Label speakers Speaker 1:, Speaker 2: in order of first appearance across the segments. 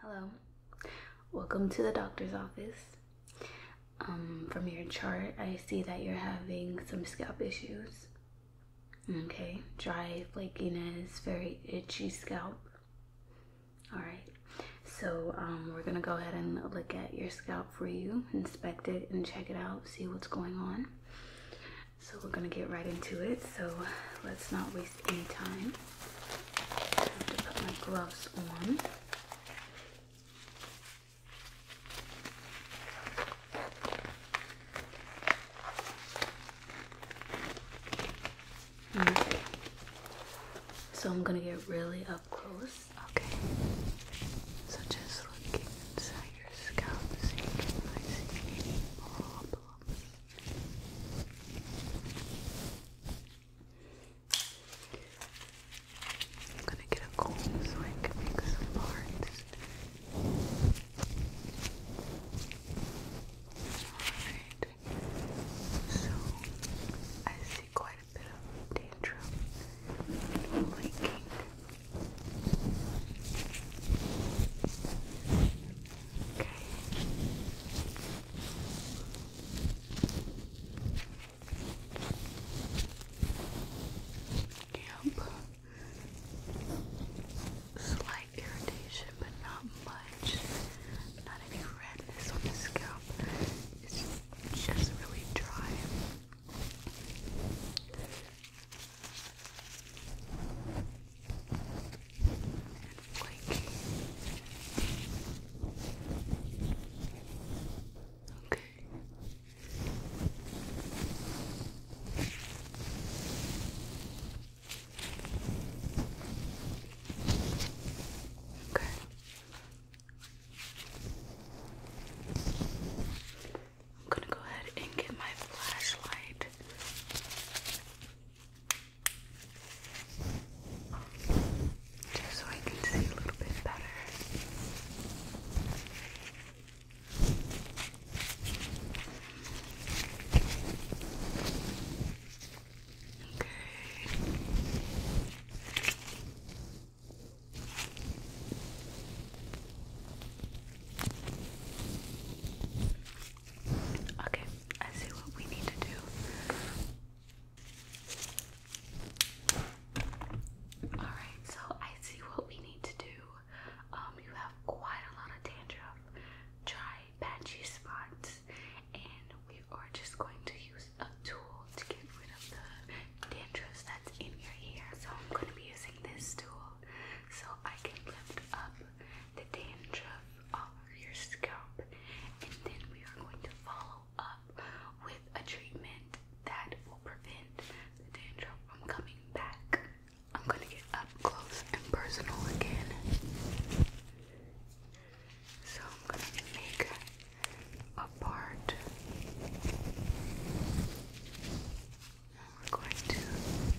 Speaker 1: Hello, welcome to the doctor's office. Um, from your chart, I see that you're having some scalp issues. Okay, dry flakiness, very itchy scalp. All right, so um, we're gonna go ahead and look at your scalp for you, inspect it and check it out, see what's going on. So we're gonna get right into it. So let's not waste Anytime. any time. I have to put my gloves on. Okay. Hmm. So I'm gonna get really up close. Okay. So just looking inside your scalp so you can problems. I'm gonna get a comb so I can make some parts. Alright, so I see quite a bit of dandruff and leaking. Okay. Yep. Slight irritation, but not much. Not any redness on the scalp. It's just really dry and flaky. Okay. Okay. I'm going to go ahead and get my flashlight. Just so I can see a little bit better. Okay. Okay, I see what we need to do. Alright, so I see what we need to do. Um, you have quite a lot of dandruff, dry, patchy spots, and we are just going to use a tool to get rid of the dandruff that's in your hair. So I'm going to be using this tool so I can lift up the dandruff all your scalp, and then we are going to follow up with a treatment that will prevent the dandruff from coming back. I'm going to get up close and personal again. So I'm going to make a part. we're going to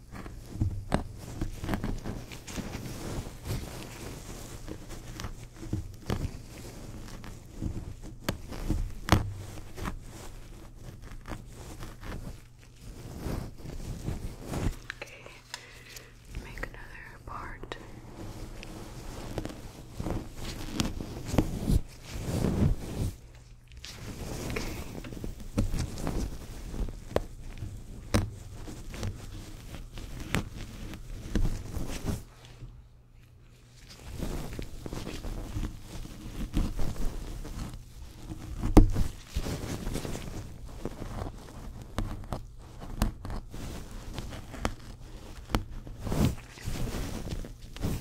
Speaker 1: Okay, make another part. Okay.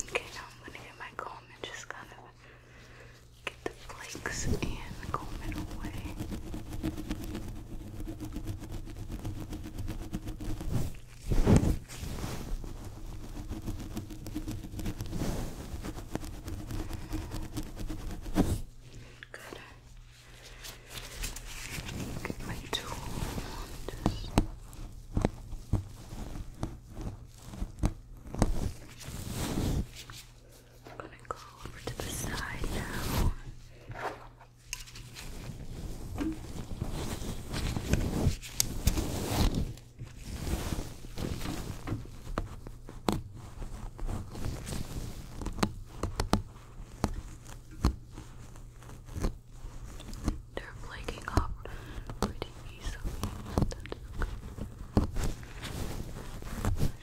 Speaker 1: Okay, now I'm going to get my comb and just kind of get the flakes and comb it away. Good. Get my tool. I'm gonna go over to the side now. They're flaking up pretty easily. That's okay.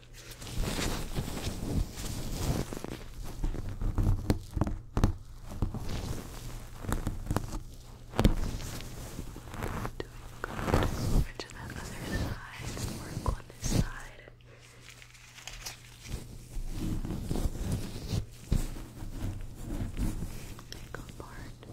Speaker 1: Doing good. Over to the other side. Work on this side. Take apart.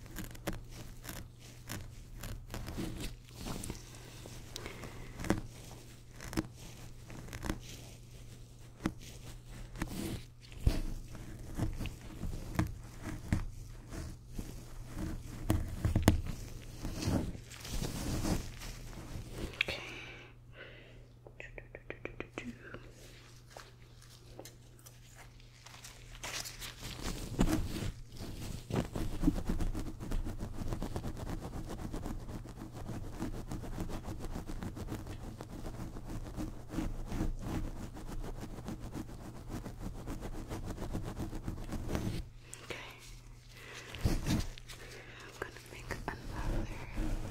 Speaker 1: Okay. Do, do, do, do, do, do. Okay. I'm going to make another part.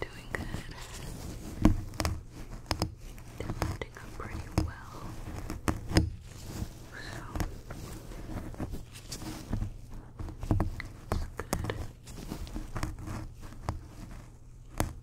Speaker 1: Doing good. They're holding up pretty well. So it's good.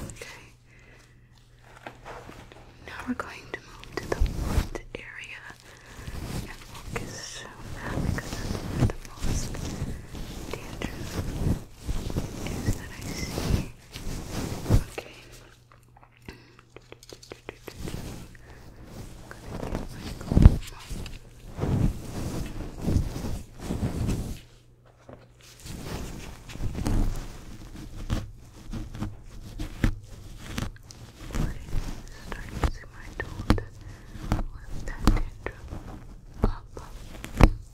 Speaker 1: Okay. Now we're going to move to the wood area and focus on that because the most danger is that I see. Okay start using my tool to lift that tantrum up. Good.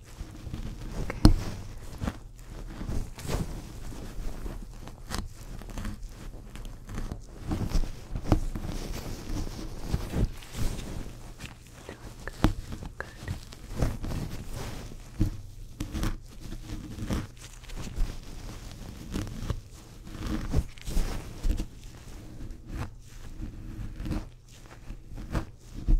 Speaker 1: Okay. Good. Good. Okay. Okay,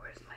Speaker 1: where's my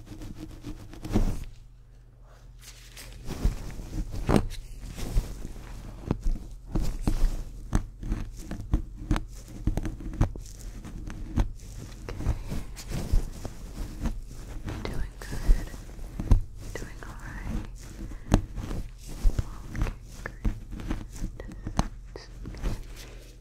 Speaker 1: Doing good. Doing alright. Okay, great. Just, just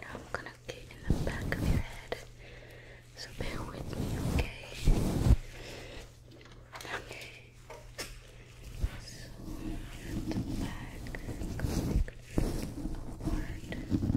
Speaker 1: Now I'm gonna get in the back of your head, so bear with me, okay? Okay. So at the back, going upward. Okay.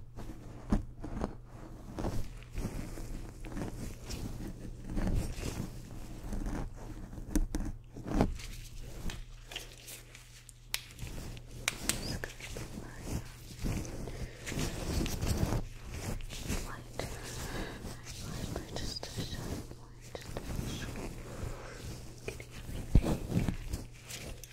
Speaker 1: just to show you, just to show you. Getting everything.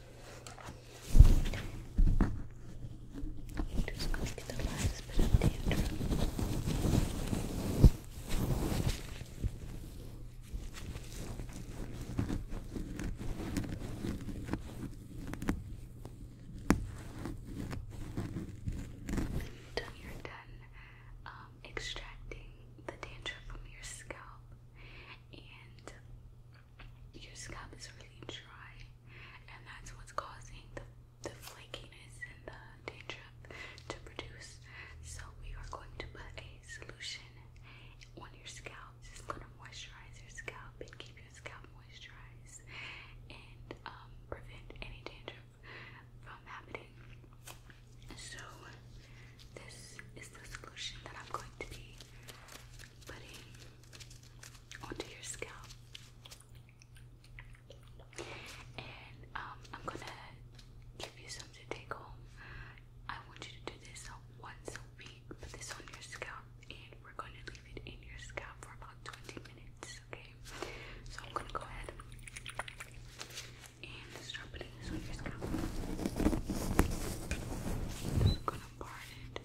Speaker 1: i just going to get the last bit of the intro. Until you're done um, extracting the dandruff from your scalp and your scalp is really dry, and that's what's causing the, flakiness and the dandruff to produce. So, we are going to put a solution on your scalp. It's going to moisturize your scalp and keep your scalp moisturized and um, prevent any dandruff from happening. So, this is the solution that I'm going to be putting onto your scalp. And um, I'm gonna give you some to take home. I want you to do this once a week. Put this on your scalp, and we're gonna leave it in your scalp for about 20 minutes, okay? So, I'm gonna go ahead and start putting this on Just gonna part it.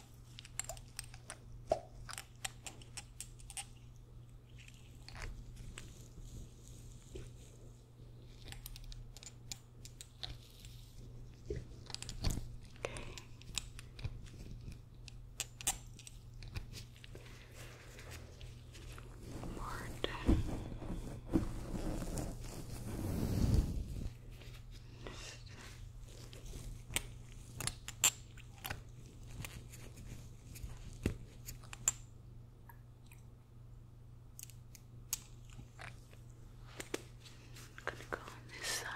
Speaker 1: Martin. I'm gonna go on this side.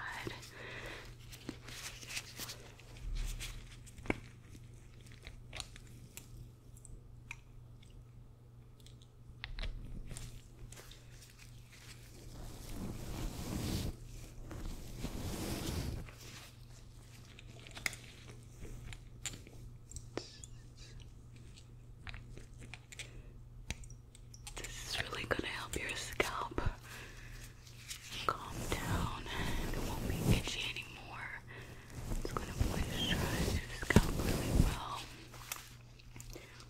Speaker 1: This is really going to help your scalp calm down and it won't be itchy anymore. It's going to moisturize your scalp really well.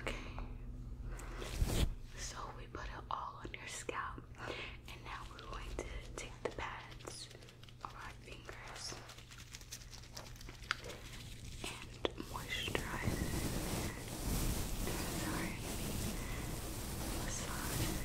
Speaker 1: Okay. So we put it all on your scalp, and now we're going to take the pads of our fingers and moisturize. Sorry, massage.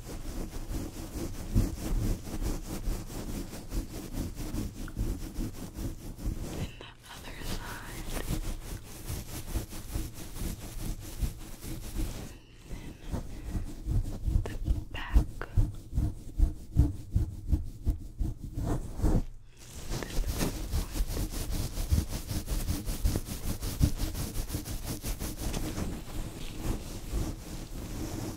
Speaker 1: And the other side. And then the back. The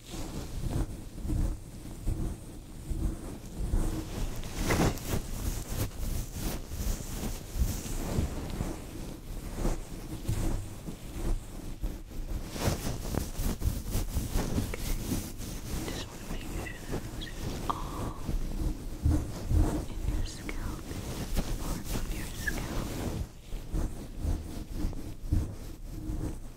Speaker 1: Just want to make sure that it's all in your scalp, part of your scalp. Okay.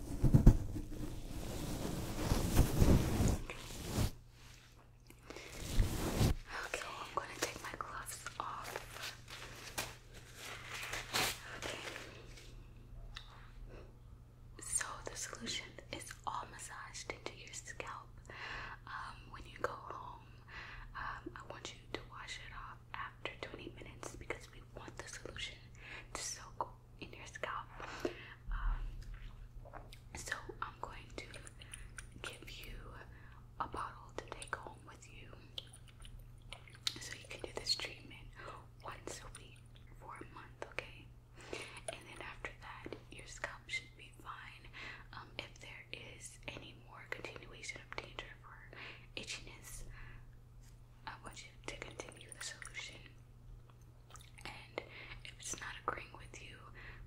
Speaker 1: Okay, I'm going to take my gloves off. Okay. So the solution is all massaged into your scalp. Um, when you go home, um, I want you to wash it off after 20 minutes because we want the solution to soak in your scalp. Um, so I'm going to give you a bottle to take home with you. So you can do this treatment once a week for a month, okay? And then after that, your scalp should be fine. Um, if there is any more continuation of danger for itchiness, I want you to continue the solution. And if it's not agreeing with you,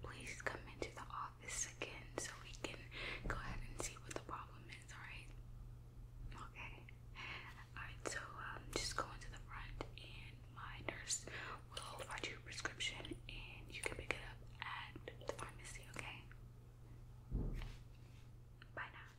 Speaker 1: please come into the office again so we can go ahead and see what the problem is, alright? Okay. Alright, so um, just go into the front and my nurse will write you a prescription and you can pick it up at the pharmacy, okay? Bye now.